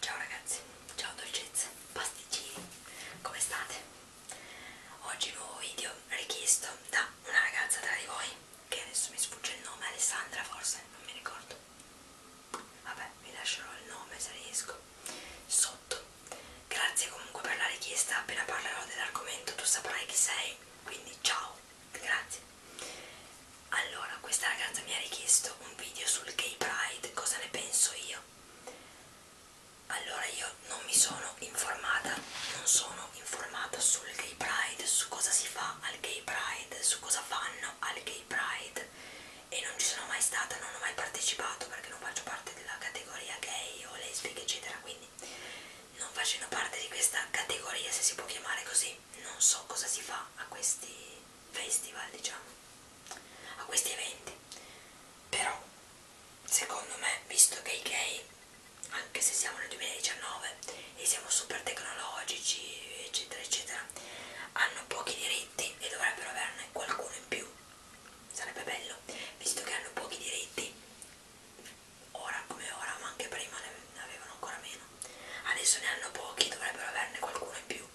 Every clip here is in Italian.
Ciao ragazzi, ciao dolcezze, pasticcini, come state? Oggi un nuovo video richiesto da una ragazza tra di voi, che adesso mi sfugge il nome, Alessandra forse, non mi ricordo. Vabbè, vi lascerò il nome se riesco sotto. Grazie comunque per la richiesta, appena parlerò dell'argomento tu saprai chi sei, quindi ciao, grazie. Allora, questa ragazza mi ha richiesto un video sul gay pride, cosa ne penso io? Allora, io non mi sono informata, non sono informata sul gay pride, su cosa si fa al gay pride, su cosa fanno al gay pride e non ci sono mai stata, non ho mai partecipato perché non faccio parte della categoria gay o lesbica eccetera, quindi non facendo parte di questa categoria, se si può chiamare così, non so cosa si fa a questi festival, diciamo, a questi eventi. Però, secondo me, visto che i gay, anche se siamo nel 2019 e siamo super tecnologici, eccetera, eccetera, hanno pochi diritti e dovrebbero averne qualcuno in più. Sarebbe bello, visto che hanno pochi diritti, ora come ora, ma anche prima ne avevano ancora meno. Adesso ne hanno pochi, dovrebbero averne qualcuno in più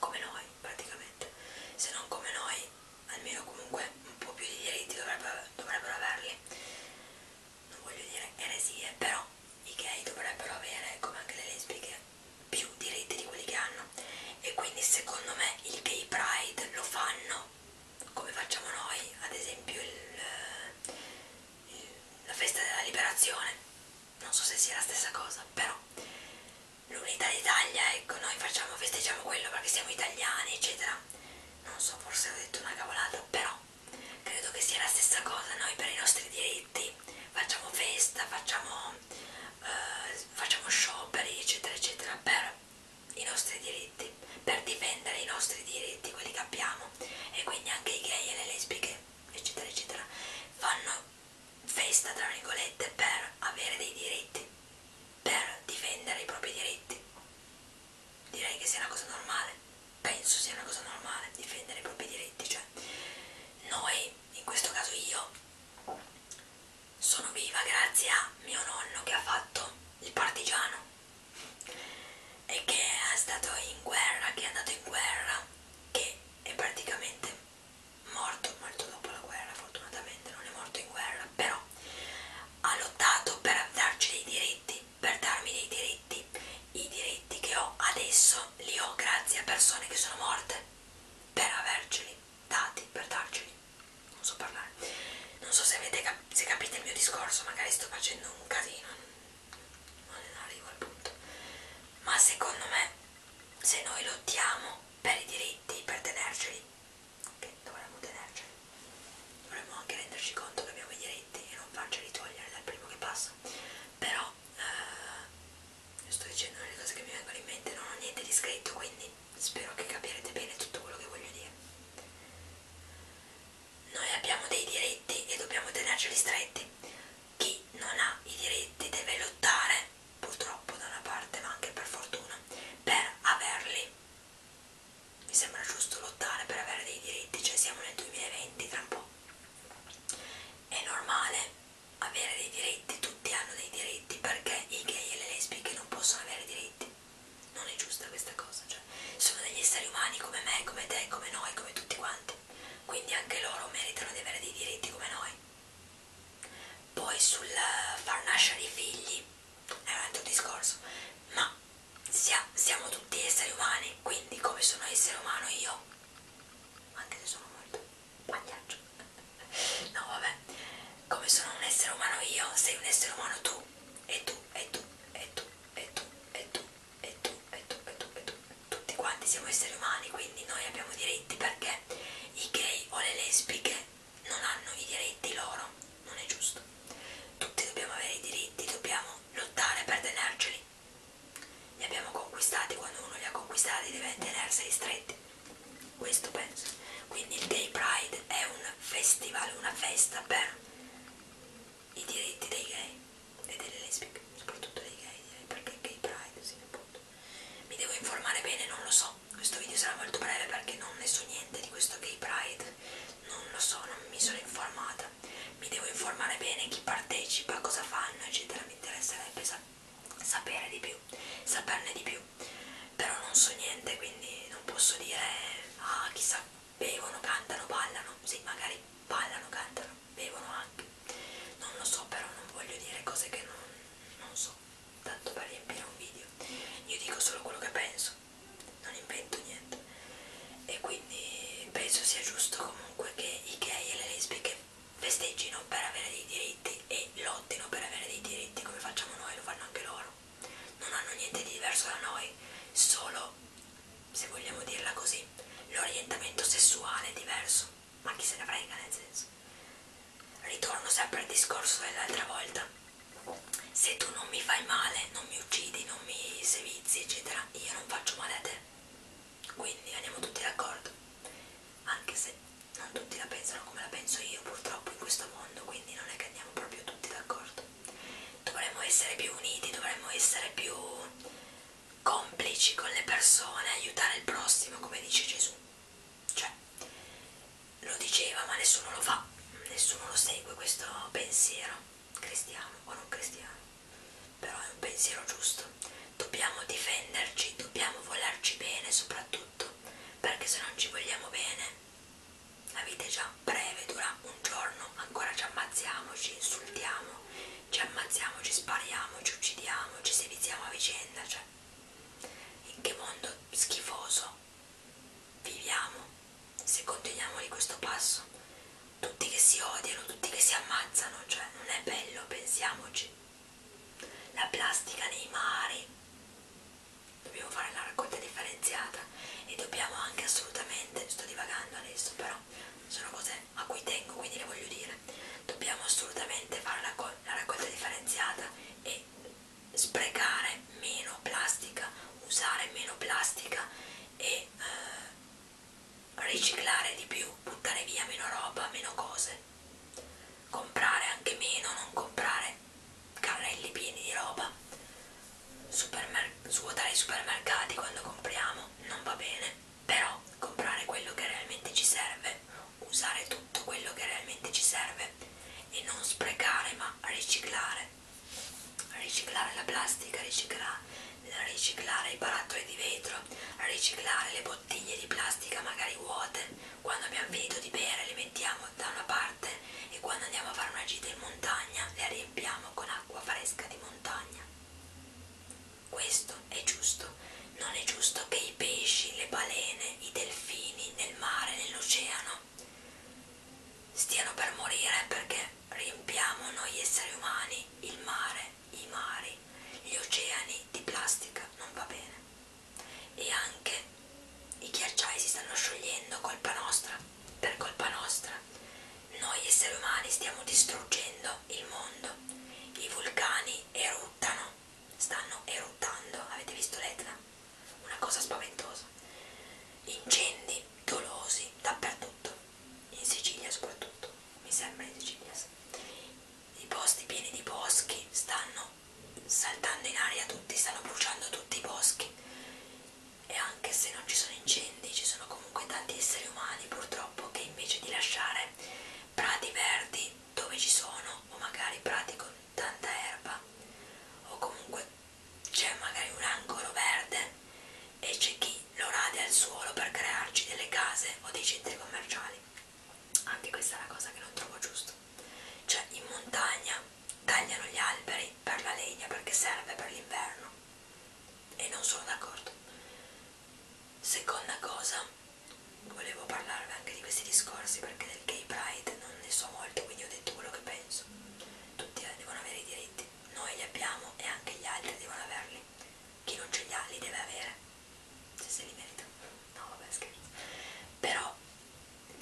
come noi praticamente se non come noi almeno comunque un po' più di diritti dovrebbero, dovrebbero averli non voglio dire eresie però i gay dovrebbero avere come anche le lesbiche più diritti di quelli che hanno e quindi secondo me il gay pride lo fanno come facciamo noi ad esempio il, il, la festa della liberazione non so se sia la stessa cosa però l'unità d'Italia ecco noi facciamo festeggiamo quello perché siamo italiani eccetera non so forse ho detto una cavolata però credo che sia la stessa cosa noi per i nostri diritti facciamo festa facciamo eh, facciamo scioperi eccetera eccetera per i nostri diritti per difendere i nostri diritti quelli che abbiamo e quindi anche i gay e le lesbiche eccetera eccetera fanno festa tra virgolette per avere dei diritti per difendere i propri diritti direi che sia una cosa normale penso sia una cosa normale difendere i propri diritti cioè noi in questo caso io sono viva grazie a mio nonno che ha fatto il partigiano e che è stato in guerra che è andato in guerra che è praticamente morto molto dopo la guerra, fortunatamente non è morto in guerra, però ha lottato per darci dei diritti, per darmi dei diritti, i diritti che ho adesso li ho grazie a persone che sono morte per averceli dati, per darceli, non so parlare, non so se, avete cap se capite il mio discorso, magari sto facendo un casino, non arrivo al punto ma secondo me se noi lottiamo per i diritti per tenerceli che dovremmo tenerceli dovremmo anche renderci conto che abbiamo i diritti e non farceli togliere dal primo che passa però eh, sto dicendo le cose che mi vengono in mente non ho niente di scritto quindi spero che capirete bene tutto quello che voglio dire noi abbiamo dei diritti e dobbiamo tenerceli stretti chi non ha i diritti deve lottare, purtroppo da una parte ma anche per fortuna, per averli. Mi sembra giusto lottare per avere dei diritti, cioè siamo nel 2020 tra un po'. È normale avere dei diritti, tutti hanno dei diritti, perché i gay e le lesbiche non possono avere diritti. Non è giusta questa cosa, cioè sono degli esseri umani come me, come te, come noi, come tutti quanti quindi anche loro meritano di avere dei diritti come noi. Poi sul far nascere i figli è un altro discorso, ma sia, siamo tutti esseri umani, quindi come sono essere umano io, anche se sono molto pagliaccio, no vabbè, come sono un essere umano io, sei un essere umano tu, e tu, e tu, e tu, e tu, e tu, e tu, e tu, e tu, e tu, tutti quanti siamo esseri umani, quindi noi abbiamo diritti perché i gay o le lesbiche non hanno i diritti loro, non è giusto. Tutti dobbiamo avere i diritti, dobbiamo lottare per tenerceli. Li abbiamo conquistati, quando uno li ha conquistati deve tenerseli stretti. Questo penso. Quindi il Gay Pride è un festival, una festa per i diritti dei gay e delle lesbiche, soprattutto dei gay, direi, perché gay pride, sì, appunto. Mi devo informare bene, non lo so. Questo video sarà molto breve perché non ne so niente di questo gay pride, non lo so, non mi sono informata. Mi devo informare bene chi partecipa, cosa fanno, eccetera. Mi interesserebbe sa sapere di più, saperne di più. Però non so niente, quindi non posso dire, ah, chissà, bevono, cantano, ballano. Sì, magari ballano, cantano bevono anche non lo so però non voglio dire cose che non, non so tanto per riempire un video io dico solo quello che penso non invento niente e quindi penso sia giusto comunque che i gay e le lesbiche festeggino per avere dei diritti e lottino per avere dei diritti come facciamo noi lo fanno anche loro non hanno niente di diverso da noi solo se vogliamo dirla così, l'orientamento sessuale è diverso, ma chi se ne frega nel senso. Ritorno sempre al discorso dell'altra volta. Se tu non mi fai male, non mi uccidi, non mi sevizi, eccetera, io non faccio male a te. Quindi andiamo tutti d'accordo. Anche se non tutti la pensano come la penso io, purtroppo in questo mondo, quindi non è che andiamo proprio tutti d'accordo. Dovremmo essere più uniti, dovremmo essere più complici con le persone, aiutare il prossimo come dice Gesù. Cioè, lo diceva ma nessuno lo fa, nessuno lo segue questo pensiero, cristiano o non cristiano. Però è un pensiero giusto. Dobbiamo difenderci, dobbiamo volerci bene soprattutto, perché se non ci vogliamo bene la vita è già breve, dura un giorno, ancora ci ammazziamo, ci insultiamo ci ammazziamo, ci spariamo, ci uccidiamo, ci seviziamo a vicenda, cioè in che mondo schifoso viviamo se continuiamo di questo passo? Tutti che si odiano, tutti che si ammazzano, cioè non è bello, pensiamoci. La plastica nei mari, dobbiamo fare la raccolta differenziata e dobbiamo anche assolutamente, sto divagando adesso però, sono cose a cui tengo, quindi le voglio dire, dobbiamo assolutamente fare la, la raccolta differenziata e sprecare meno plastica, usare meno plastica e eh, riciclare di più, buttare via meno roba, meno cose, comprare anche meno, non comprare carrelli pieni di roba, Supermer svuotare i supermercati quando compriamo non va bene però comprare quello che realmente ci serve, usare tutto quello che realmente ci serve e non sprecare ma riciclare, riciclare la plastica, riciclare, riciclare i barattoli di vetro, riciclare le bottiglie di plastica magari vuote, quando abbiamo finito di bere le mettiamo da una parte e quando andiamo a fare una gita in montagna le riempiamo con acqua fresca di montagna. Questo è giusto. Non è giusto che i pesci, le balene, i delfini nel mare, nell'oceano stiano per morire perché riempiamo noi esseri umani il mare, i mari, gli oceani di plastica. Non va bene. E anche i ghiacciai si stanno sciogliendo colpa nostra, per colpa nostra. Noi esseri umani stiamo distruggendo il mondo, i vulcani eruttano, stanno eruttando, avete visto l'Etna? Una cosa spaventosa. Incendi dolosi dappertutto, in Sicilia soprattutto, mi sembra in Sicilia. I posti pieni di boschi stanno saltando in aria tutti, stanno bruciando tutti i boschi e anche se non ci sono incendi, ci sono comunque tanti esseri umani purtroppo che invece di lasciare prati verdi dove ci sono o magari prati con tanta erba o comunque c'è magari un angolo verde e c'è chi lo rade al suolo per crearci delle case o dei centri commerciali anche questa è una cosa che non trovo giusta cioè in montagna tagliano gli alberi per la legna perché serve per l'inverno e non sono d'accordo. Seconda cosa, volevo parlarvi anche di questi discorsi perché del gay pride non ne so molto, quindi ho detto quello che penso. Tutti eh, devono avere i diritti, noi li abbiamo e anche gli altri devono averli. Chi non ce li ha li deve avere, se se li merita. No, vabbè, scherzo. Però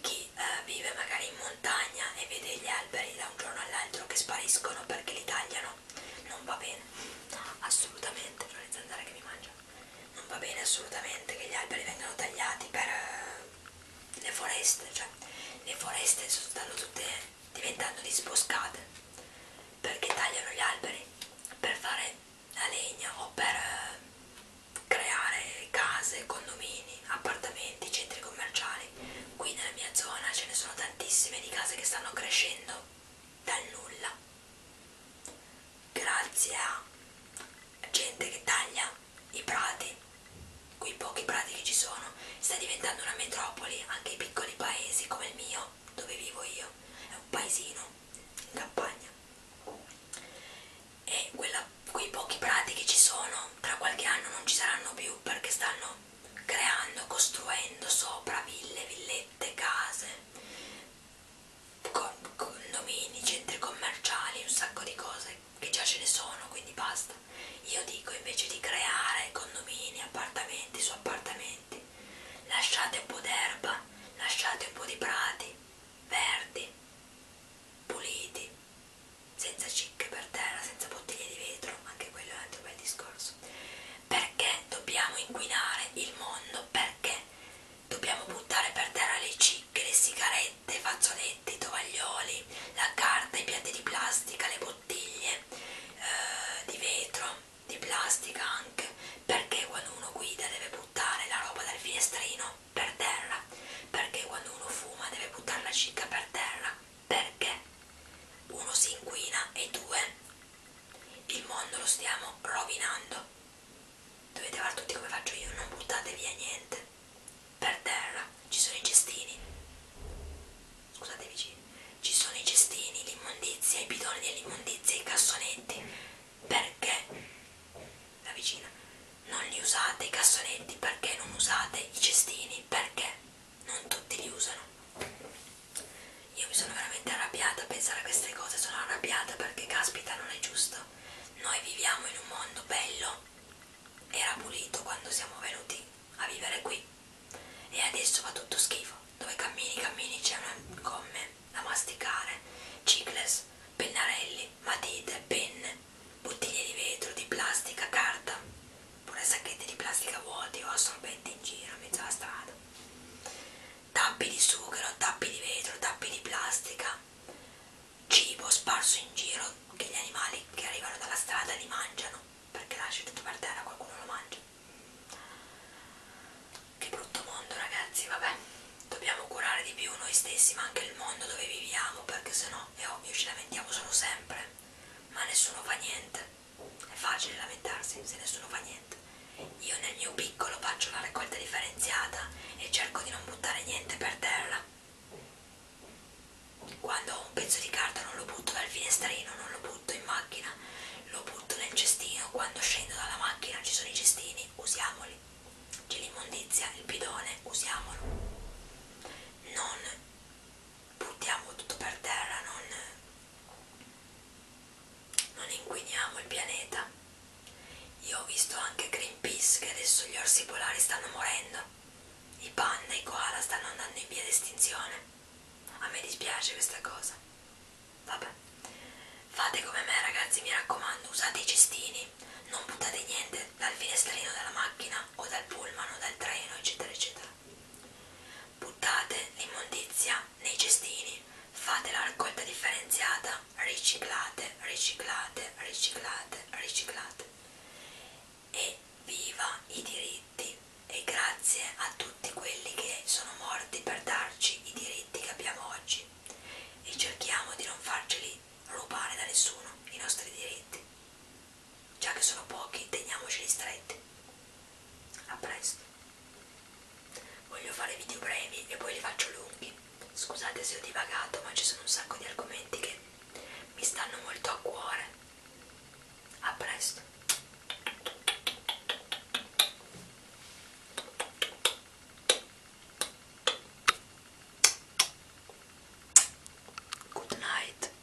chi eh, vive magari in montagna e vede gli alberi da un giorno all'altro che spariscono perché li tagliano non va bene assolutamente, sono le zanzare che mi mangiano non va bene assolutamente che gli alberi vengano tagliati per uh, le foreste cioè le foreste stanno tutte diventando disboscate perché tagliano gli alberi per fare la legna o per uh, creare case, condomini, appartamenti, centri commerciali poi qui nella mia zona ce ne sono tantissime di case che stanno crescendo dal nulla grazie a gente che taglia i prati quei pochi prati che ci sono sta diventando una metropoli anche i piccoli paesi come il mio dove vivo io è un paesino in campagna e quella, quei pochi prati che ci sono tra qualche anno non ci saranno più perché stanno creando, costruendo sopra ville, villette, case, condomini, centri commerciali, un sacco di cose che già ce ne sono, quindi basta. Io dico invece di creare condomini, appartamenti su appartamenti, lasciate un po' d'erba, lasciate un po' di prati verdi, puliti, senza cicche per terra, senza bottiglie di vetro, anche quello è un altro bel discorso caos perché dobbiamo inquinare il mondo perché dobbiamo buttare per terra le cicche le sigarette i fazzoletti i tovaglioli la carta i piatti di plastica le bottiglie eh, di vetro di plastica anche perché quando uno guida deve buttare la roba dal finestrino per terra perché quando uno fuma deve buttare la cicca per terra perché uno si inquina e due il mondo lo stiamo rovinando dovete fare tutti come faccio io non buttate via niente per terra ci sono i cestini scusate vicini ci sono i cestini l'immondizia i bidoni dell'immondizia i cassonetti perché la vicina non li usate i cassonetti perché non usate i cestini perché non tutti li usano io mi sono veramente arrabbiata a pensare a queste cose sono arrabbiata perché caspita non è giusto noi viviamo in un mondo bello era pulito quando siamo venuti a vivere qui e adesso va tutto schifo dove cammini cammini c'è una gomme da masticare cicles pennarelli matite penne bottiglie di vetro di plastica carta pure sacchetti di plastica vuoti o assorbenti in giro a mezzo alla strada tappi di sughero, tappi di vetro, tappi di plastica cibo sparso in giro che gli animali che arrivano dalla strada li mangiano perché lasci tutto per terra qualcuno lo mangia che brutto mondo ragazzi vabbè dobbiamo curare di più noi stessi ma anche il mondo dove viviamo perché sennò è ovvio ci lamentiamo solo sempre ma nessuno fa niente è facile lamentarsi se nessuno fa niente. Io nel mio piccolo faccio la raccolta differenziata e cerco di non buttare niente per terra. Quando ho un pezzo di carta non lo butto dal finestrino, non lo butto in macchina, lo butto nel cestino. Quando scendo dalla macchina ci sono i cestini, usiamoli. C'è l'immondizia, il bidone, usiamolo. Non buttiamo tutto per terra, non, non inquiniamo il pianeta. Io ho visto anche Greenpeace che adesso gli orsi polari stanno morendo, i panda, i koala stanno andando in via d'estinzione. A me dispiace questa cosa. Vabbè, fate come me ragazzi, mi raccomando, usate i cestini, non buttate niente dal finestrino della macchina o dal pullman o dal treno, eccetera, eccetera. Buttate l'immondizia nei cestini, fate la raccolta differenziata, riciclate, riciclate, riciclate, riciclate. E viva i diritti e grazie a tutti quelli che sono morti per darci i diritti che abbiamo oggi e cerchiamo di non farceli rubare da nessuno i nostri diritti già che sono pochi teniamoceli stretti a presto voglio fare video brevi e poi li faccio lunghi scusate se ho divagato ma ci sono un sacco di argomenti che mi stanno molto a cuore a presto Good night